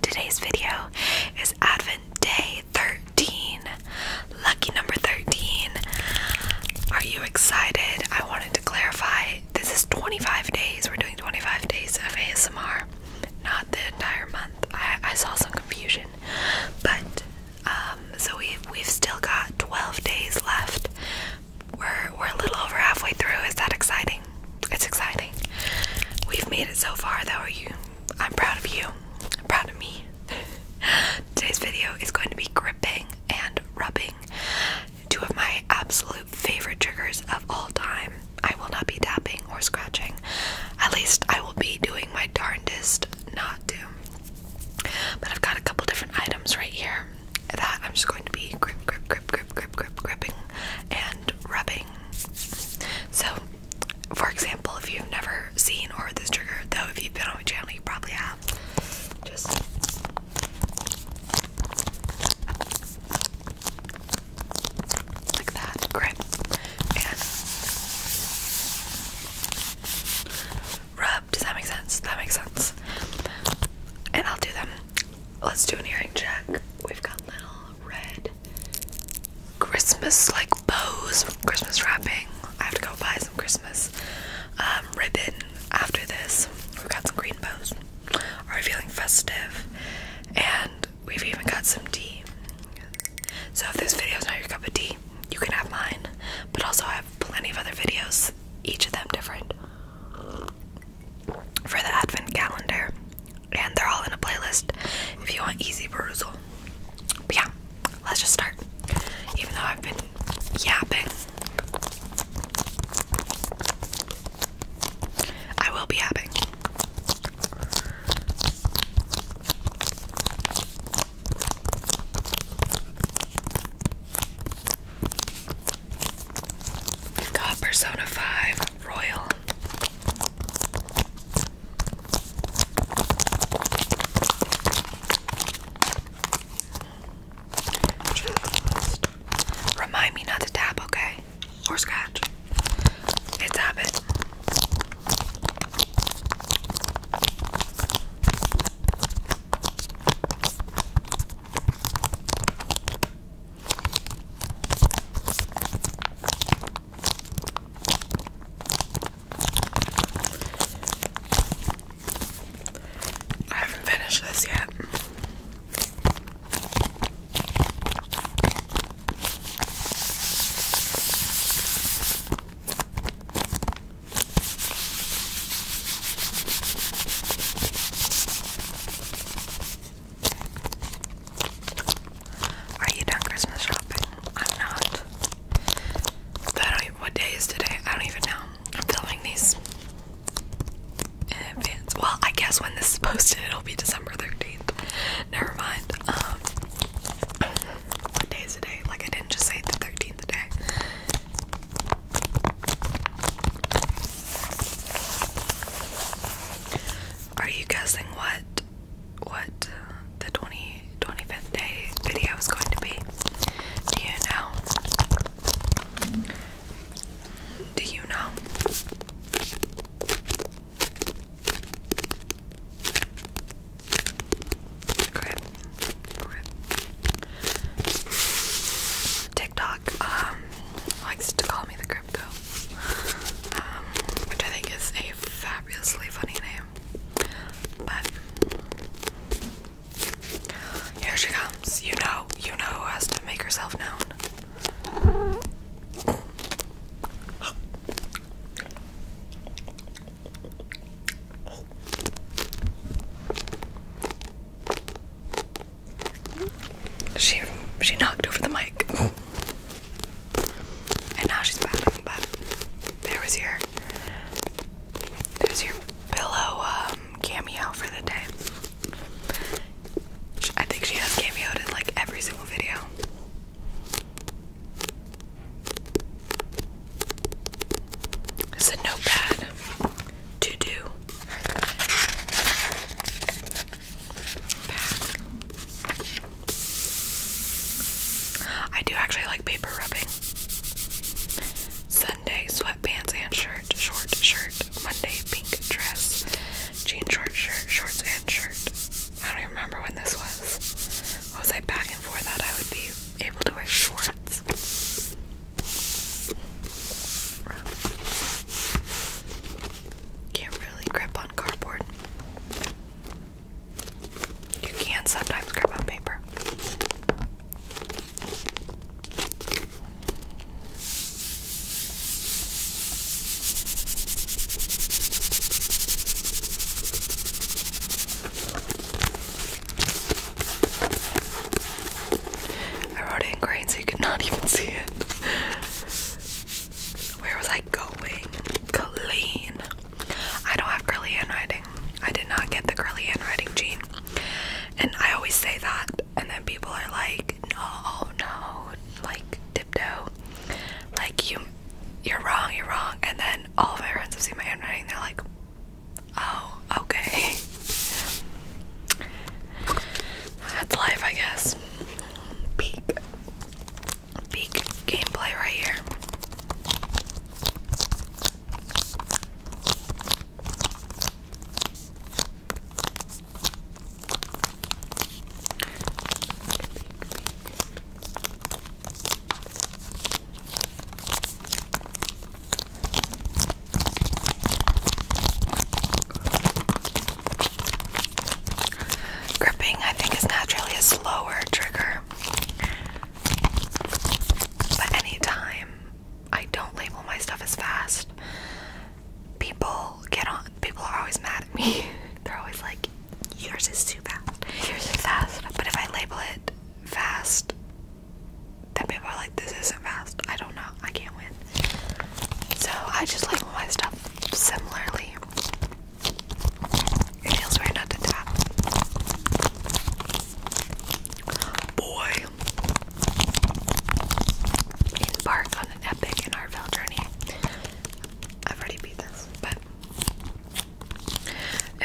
Today's video is Advent Day 13. Lucky number 13. Are you excited? I wanted to clarify this is 25 days. We're doing 25 days of ASMR, not the entire month. I, saw some confusion, but um, so we've, we've still got 12 days left. We're, we're a little over halfway through. Is that exciting? It's exciting. We've made it so far though, you? I'm proud of you. I'm proud of me. Today's video is going to be gripping and rubbing. Two of my absolute favorite triggers of all time. I will not be tapping or scratching. At least I will be doing my darndest not to. But I've got a couple different items right here that I'm just going to be grip, grip, grip, grip, grip, grip, gripping and rubbing so, for example, if you've never seen or heard this trigger, though if you've been on my channel, you probably have. Just like that, grip, and rub. Does that make sense? That makes sense. And I'll do them. Let's do an earring check. We've got little red Christmas like bows Christmas wrapping. I have to go buy some Christmas um, ribbon after this. We've got some green bows. Are we feeling festive? And we've even got some tea. So if this video is not your cup of tea, you can have mine. But also I have plenty of other videos, each of them different for the advent calendar and they're all in a playlist if you want easy perusal but yeah let's just start even though i've been yapping i will be yapping got Persona 5, Royal. remind me not to tap, okay? Or scratch. It's habit. I haven't finished this yet. Are you done Christmas shopping? I'm not. what day is today? I don't even know. I'm filming these in advance. Well, I guess when this is posted, it'll be December 13th. Never mind. Um, what day is today? Like, I didn't just say the 13th today. Are you guessing what what uh, the 20 25th day video is going to be? Do you know? Do you know? Grip, grip. TikTok um likes to call me the grip Crabco, um, which I think is a fabulously funny name. But here she comes. You know, you know who has to make herself known. She she knocked over the mic. And now she's battling, but there was your there's your pillow um, cameo for the day. I think she has cameoed in like every single video. It's a notepad to do. I do actually like paper rubbing. Sunday, sweatpants and shirt, short shirt. Monday, pink dress, jean short shirt, shorts and shirt. I don't even remember when this was. What was I back and forth that I would be able to wear shorts? Can't really grip on cardboard. You can sometimes grip on paper. I wrote it in green so you could not even see it. Where was I going? Colleen. I don't have curly handwriting. I did not get the curly handwriting gene. And I always say that, and then people are like, no, oh no, like, dipto. Like, you, you're wrong, you're wrong. And then all of my friends have seen my handwriting, they're like, oh, okay. That's life, I guess. Peak, peak gameplay right here. Gripping, I think, is naturally a slower trigger. But anytime I don't label my stuff as fast, people get on. People are always mad at me. They're always like, yours is too fast, yours is fast. But if I label it fast, that people are like, this isn't fast. I don't know. I can't win. So I just like my stuff similarly. It feels weird not to tap. Boy. Embark on an epic and Artville journey. I've already beat this, but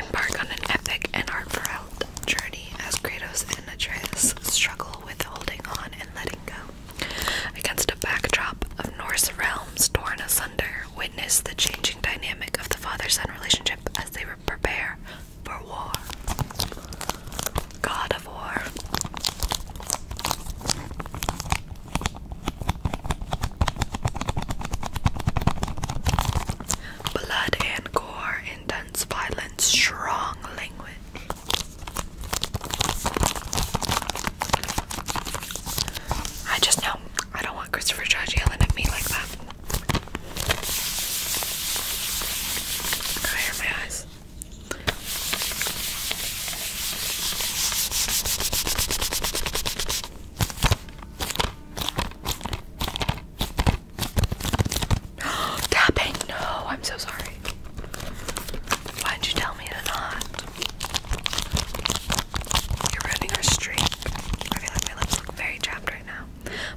embark on an epic and heartfelt journey as Kratos and Atreus struggle comfortable with holding on and letting go. Against a backdrop of Norse realms torn asunder, witness the changing dynamic of the father son relationship as they prepare for war. God of War. Blood and gore, intense violence, strong I just know I don't want Christopher Judge yelling at me like that. I hurt my eyes. Tapping? No, I'm so sorry. Why'd you tell me to not? You're ruining our streak. I feel like my lips look very chapped right now.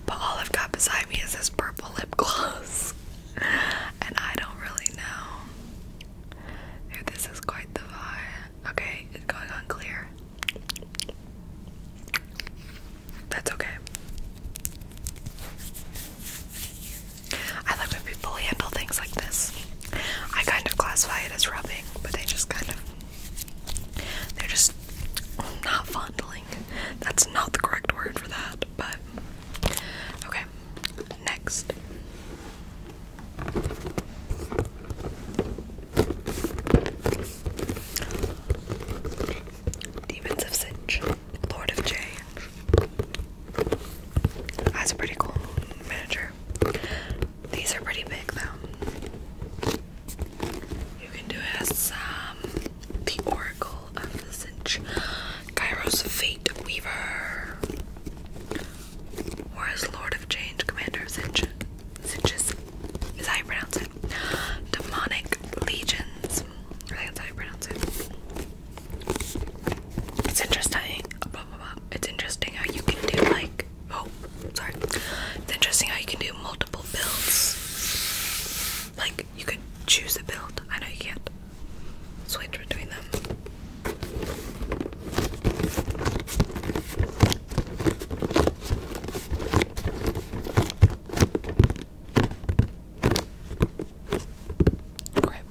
But all I've got beside me is this purple lip gloss. And I don't really know. this is quite the vibe. Okay, it's going on that's okay. I like when people handle things like this. I kind of classify it as rubbing, but they just kind of. They're just not fondling. That's not the correct word for that, but. Okay, next. Demons of Cinch, Lord of Change. That's a pretty cool miniature. These are pretty big though. You can do it as um, the Oracle of the Cinch, Kairos Fate Weaver, or as Lord of Change, Commander of Cinch. Cinches is how you pronounce it. Demonic Legions, it's interesting. It's interesting how you can do like oh sorry. It's interesting how you can do multiple builds. Like you can choose a build. I know you can't switch between them. Grip.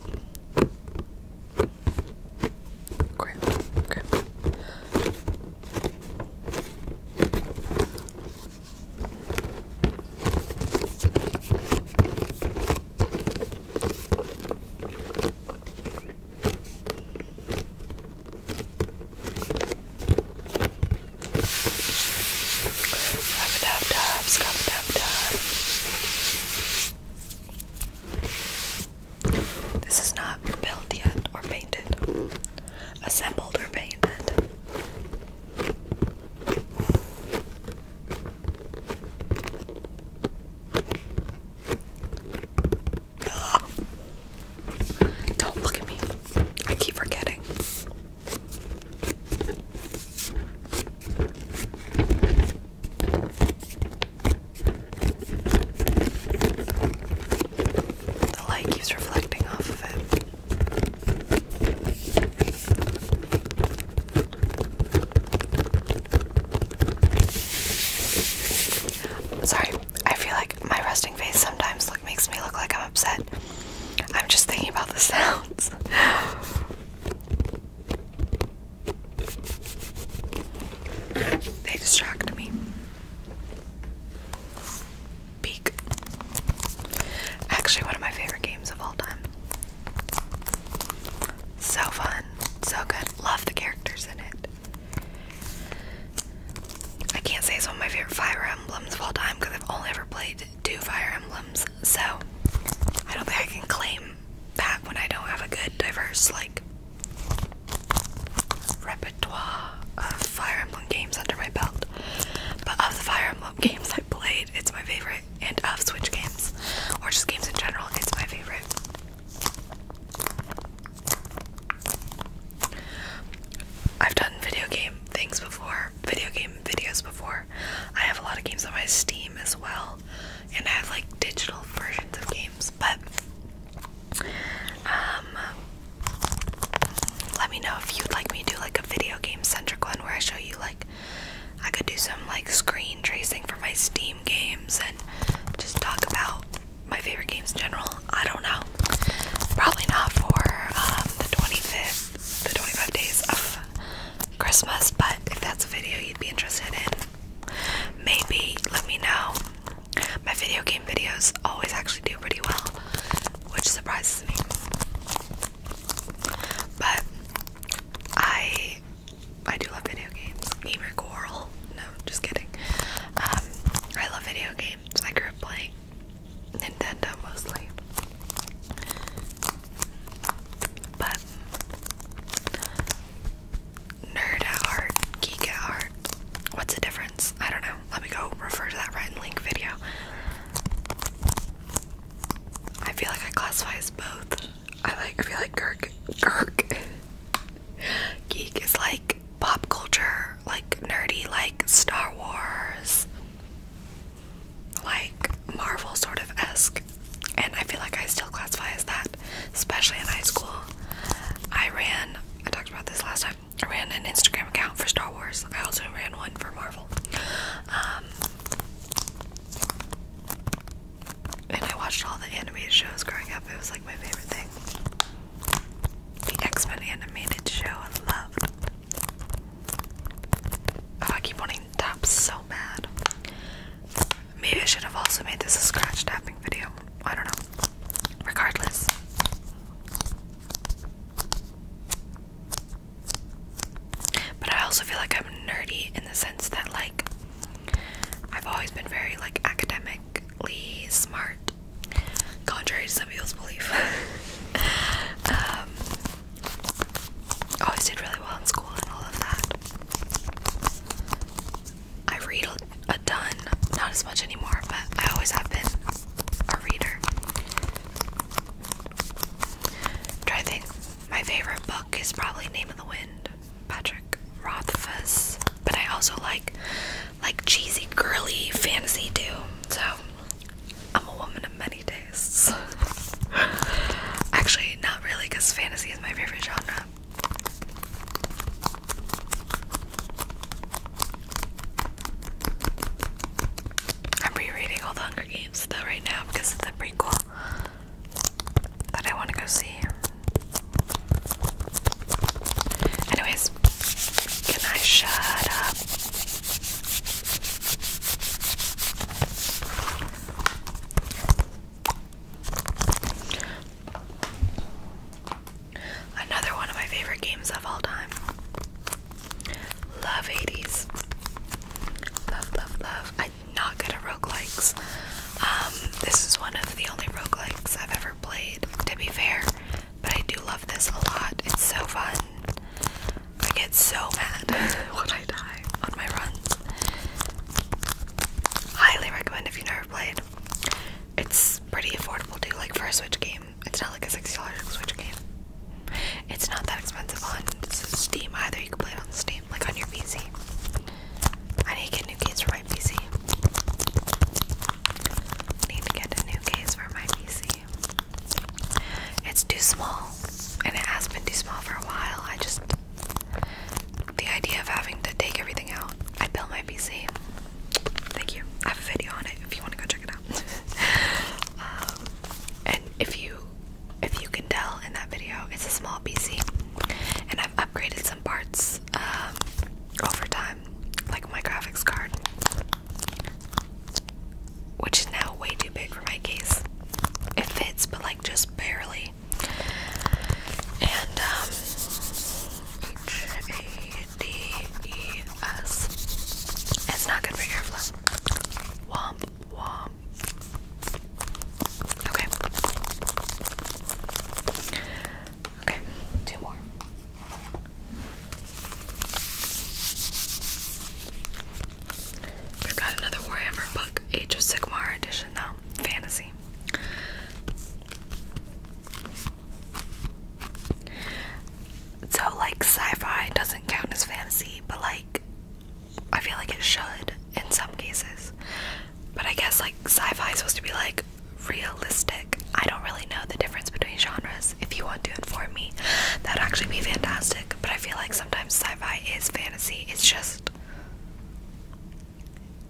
Grip. Grip. This is not built yet or painted, assembled or painted. Don't look at me. I keep forgetting. The light keeps reflecting off of it. Sorry, I feel like my resting face sometimes look makes me look like I'm upset. I'm just thinking about the sounds. they distract me. Peek. Actually, one of my favorite games of all time. So fun, so good. Love the characters in it. I can't say it's one of my favorite Fire Emblems of all time because I've only ever played two Fire Emblems, so I don't think I can claim that when I don't have a good, diverse, like, repertoire of Fire Emblem games under my belt. But of the Fire Emblem games I played, it's my favorite, and of Switch games, or just games in general, it's my favorite. I've done video game things before, video game videos before. I have a lot of games on my Steam as well, and I have like digital versions of games, but um, let me know if you'd like me to do like a video game centric one where I show you like I could do some like screen tracing for my Steam games and just talk about my favorite games in general. I don't know. Probably not for um, the 25th, the 25 days of Christmas, but if that's a video you'd be interested in, maybe let me know. My video game videos always actually do pretty well, which surprises me. But I I do love video games. Gamer Coral. No, just kidding. Um, I love video games. I grew up playing Nintendo mostly. But nerd at heart, geek at heart. What's the difference? I don't know. Let me go refer to that right and link video. I feel like I classify as both. I like I feel like Kirk Kirk Geek is like pop culture, like nerdy, like Star Wars, like Marvel sort of esque. And I feel like I still classify as that, especially in high school. I ran, I talked about this last time, I ran an Instagram account for Star Wars. I also ran one for Marvel. Um, and I watched all the animated shows growing up. It was like my favorite thing the X-Men animated show I love. Oh, I keep wanting to tap so mad. Maybe I should have also made this a scratch tapping video. I don't know. Regardless. But I also feel like I'm nerdy in the sense that like I've always been very like academically smart contrary to some people's belief. I always did really well in school and all of that. I read a, ton, not as much anymore, but I always have been a reader. I'm my favorite book is probably Name of the Wind, Patrick Rothfuss. But I also like like cheesy, girly fantasy too. So I'm a woman of many tastes. Actually, not really, because fantasy is my favorite genre. I'm rereading all the Hunger Games though right now because it's a prequel that I want to go see. Anyways, can I shut up? Another one of my favorite games of all time. Love 80s. Love, love, love. I'm not good at roguelikes. Um, this is one of the only roguelikes I've ever played, to be fair. But I do love this a lot. It's so fun. I get so mad when I die on my runs. Highly recommend if you've never played. It's pretty affordable too, like for a Switch game. It's not like a $60 Switch game. It's not that expensive on Steam either. You can play it on Steam, like on your PC. I need to get new keys my PC. Need to get a new case for my PC. It's too small, and it has been too small for a while. I just the idea of having to take everything out. I built my PC. Thank you. I have a video on it if you want to go check it out. Um, and if you if you can tell in that video, it's a small PC, and I've upgraded some parts um, over time, like my graphics card, which is now way too big for my case. It fits, but like just barely. And um, H A D E S. It's not good for airflow. Womp womp. Okay. Okay, two more. We've got another Warhammer book, Age of Sigmar edition now, fantasy. So, like, sci fi doesn't count as fantasy, but like, I feel like it should in some cases. But I guess, like, sci fi is supposed to be like realistic. I don't really know the difference between genres. If you want to inform me, that would actually be fantastic. But I feel like sometimes sci fi is fantasy, it's just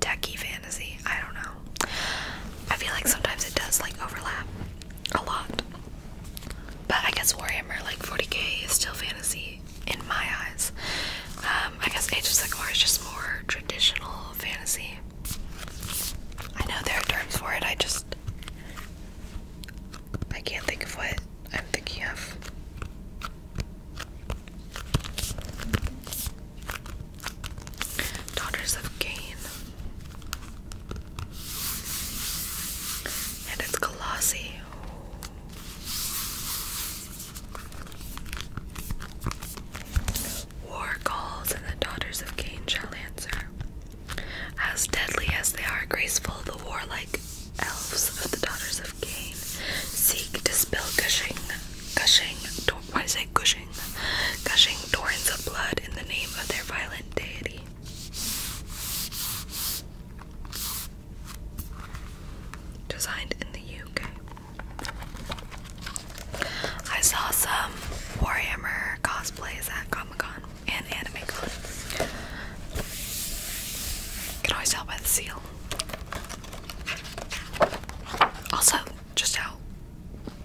techy fantasy. I don't know. I feel like sometimes it does like overlap a lot. But I guess Warhammer, like 40k, is still fantasy in my eyes. Um, I guess Age of Sigmar is just more traditional fantasy I know there are terms for it, I just I can't think of what I'm thinking of. Daughters of Cain. And it's glossy. War calls, and the daughters of Cain shall answer. As deadly as they are graceful, the warlike elves of the daughters of Cain seek to spill gushing, gushing, why gushing? Gushing torrents of blood in the name of their violent deity. Designed in the UK. I saw some Warhammer cosplays at Comic Con and Anime Con. can always tell by the seal. Also, just how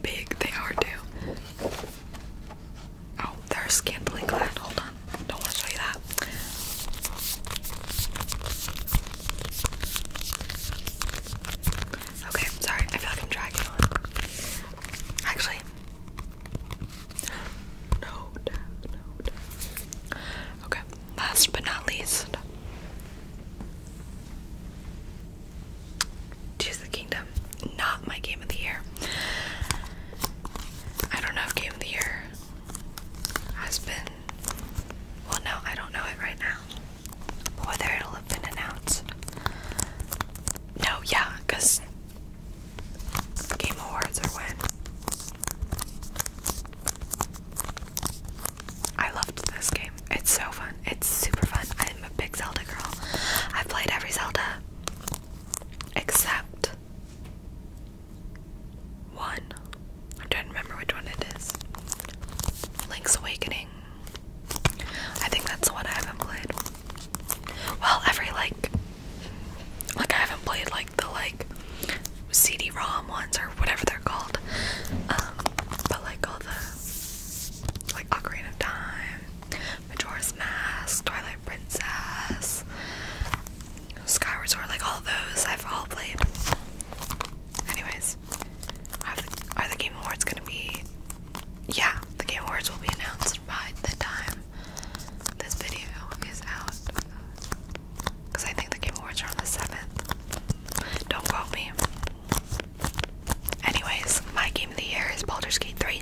big they are, too. Oh, they're scantily Hold on. Don't want to show you that. Okay, sorry, I feel like I'm dragging on. Actually, no, no, Okay, last but not least, Tears Kingdom. Not my game of the year. I don't know if game of the year has been. Well, no, I don't know it right now whether it'll have been announced. No, yeah, because Game Awards are when. I loved this game. It's so fun. It's super fun. I'm a big Zelda girl. I've played every Zelda except one. I'm trying to remember which one it is. Link's Awakening. I think that's the one I haven't played. Well, every like, like I haven't played like the like CD-ROM ones or whatever they're called. Um, but like all the like Ocarina of Time, Majora's Mask, Twilight Princess, Skyward Sword, like all those I've all played. Anyways, are the, Game Awards gonna be? Yeah, the Game Awards will be announced by the time this video is out. Because I think the Game Awards are on the 7th. Don't quote me. Anyways, my game of the year is Baldur's Gate 3.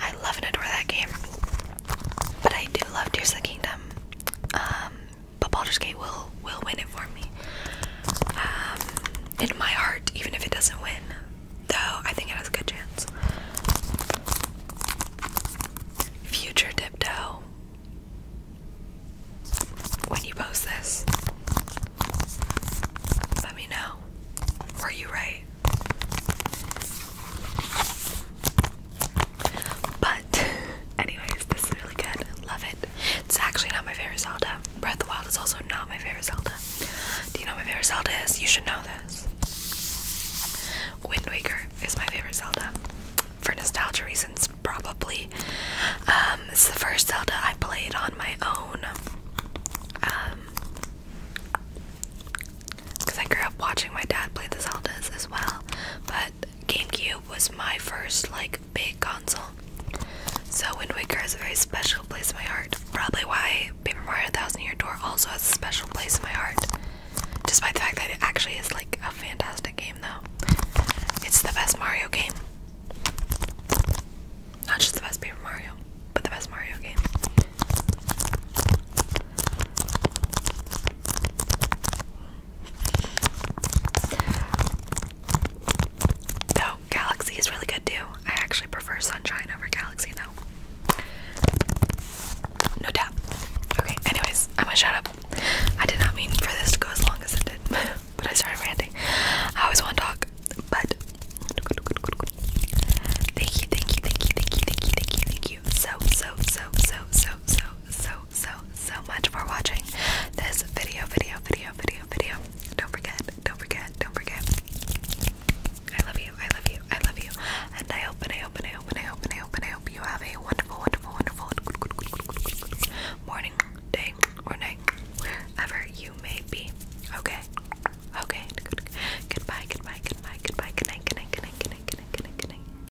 I love and adore that game. But I do love Tears of the Kingdom. Um, but Baldur's Gate will will win it for me. Um, in my heart, even if it doesn't win, though I think it has a good chance. Future Dipto, when you post this, let me know. Were you right? But, anyways, this is really good. Love it. It's actually not my favorite Zelda. Breath of the Wild is also not my favorite Zelda. Do you know what my favorite Zelda is? You should know this. Wind Waker is my favorite Zelda. For nostalgia reasons, probably. Um, it's the first Zelda I played on my own. because um, I grew up watching my dad play the Zeldas as well, but GameCube was my first like big console. So Wind Waker has a very special place in my heart. Probably why Paper Mario Thousand Year Door also has a special place in my heart. Despite the fact that it actually is like a fantastic game though. It's the best Mario game. Not just the best Paper Mario, but the best Mario game. Though Galaxy is really good too. I actually prefer Sunshine over Galaxy though. No doubt. Okay, anyways, I'm gonna shut up. I did not mean for this to go as long as it did, but I started ranting. I always want to talk, but thank you, thank you, thank you, thank you, thank you, thank you, thank you so, so, so, so, so, so so, so, so much for watching this video, video, video, video, video. Don't forget, don't forget, don't forget. I love you, I love you, I love you. And I hope, and I hope, and I hope, and I hope, and I hope, and I hope you have a wonderful, wonderful, wonderful morning, day, or night, wherever you may be. Okay? Okay. Goodbye, goodbye, goodbye, goodbye, goodnight, goodnight, goodnight, goodnight, goodnight, goodnight.